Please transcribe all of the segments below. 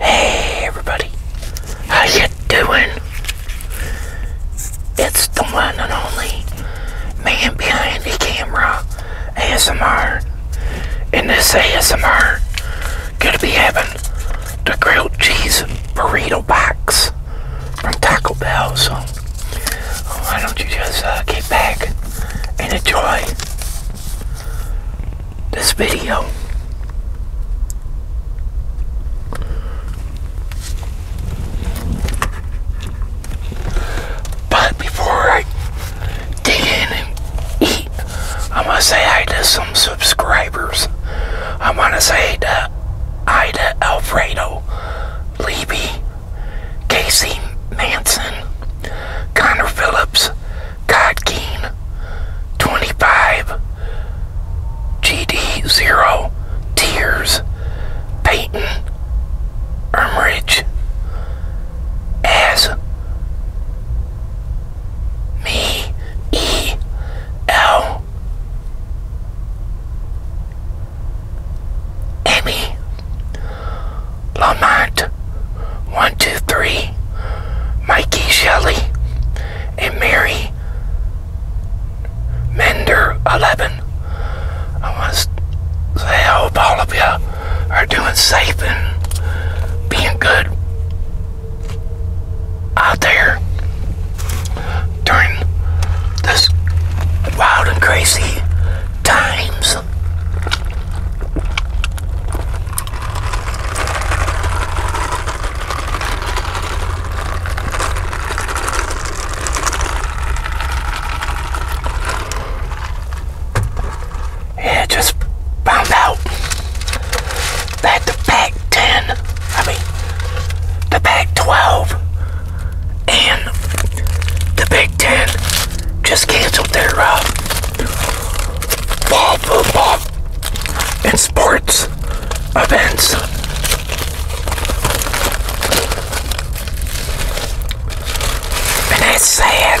Hey everybody, how you doing? It's the one and only man behind the camera ASMR. and this ASMR, gonna be having the grilled cheese burrito box from Taco Bell. So why don't you just uh, get back and enjoy this video. But before I dig in and eat, I'm going to say hi to some subscribers. I'm going to say to, hi Alfredo, Levy, Casey Manson, Connor Phillips, God 25 GD Zero Tears Peyton Ermridge as me E L Emmy Lamont, 123, Mikey Shelley, and Mary Mender, 11. I want to say I hope all of you are doing safe and being good out there during this wild and crazy times. Yeah, just bounced out that the Pac-10, I mean, the Pac-12 and the Big Ten just canceled their uh, football, and sports events. And that's sad.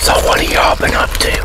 So what have y'all been up to?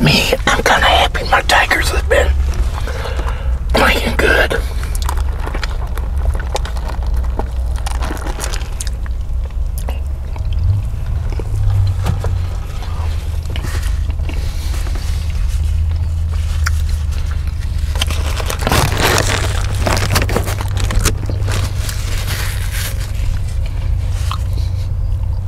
me, I'm kind of happy my Tigers have been playing good.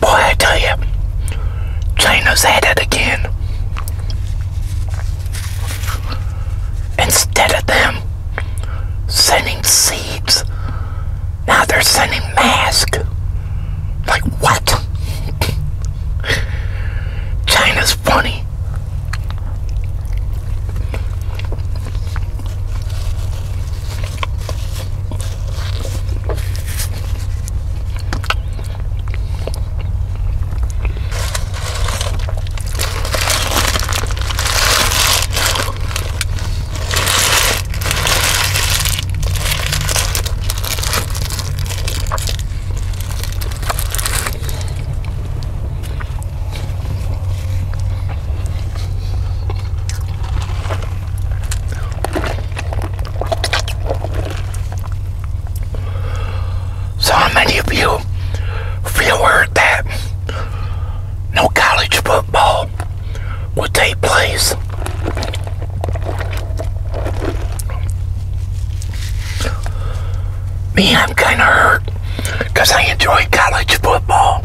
Boy, I tell you, China's at it again. Instead of them sending seeds, now they're sending masks. Like, what? China's funny. So many of you feel hurt that no college football will take place? Me, I'm kind of hurt because I enjoy college football.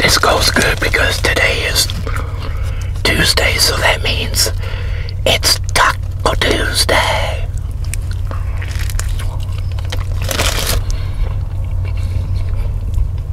This goes good because today is Tuesday, so that means it's Taco Tuesday.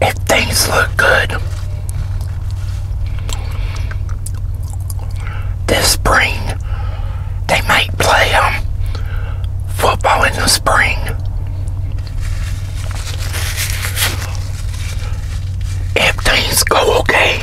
if things look good this spring, they might play um, football in the spring. If things go okay.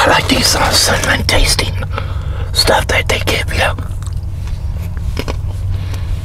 I like these uh, cinnamon tasting stuff that they give you.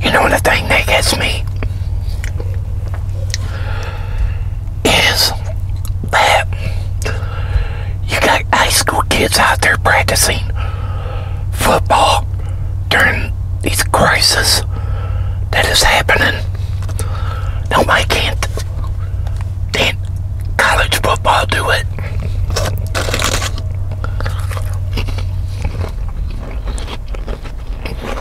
You know what the thing that gets me? is that you got high school kids out there practicing football during these crises that is happening. No, I can't. then college football do it?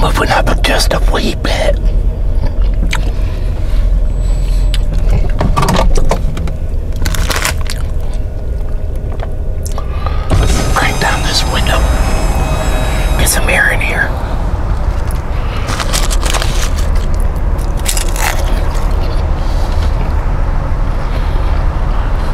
Moving up just a wee bit. Crank down this window. Get some air here.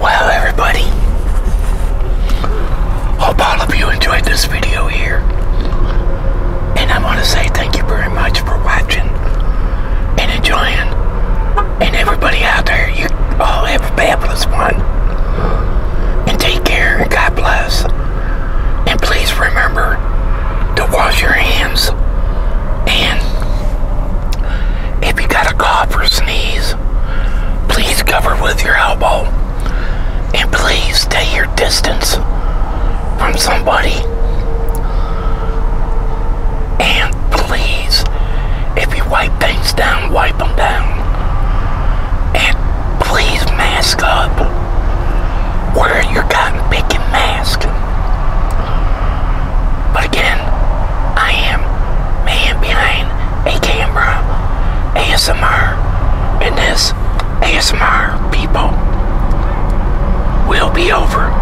Well, everybody, hope all of you enjoyed this video here. And I want to say thank you very much for watching and enjoying and everybody out there, you all have a fabulous one. And take care, and God bless. And please remember to wash your hands. And if you got a cough or sneeze, please cover with your elbow. And please stay your distance from somebody. And please if you wipe things down, wipe them down. And please mask up. Where are you cotton picking mask. But again, I am man behind a camera, ASMR, and this ASMR people will be over.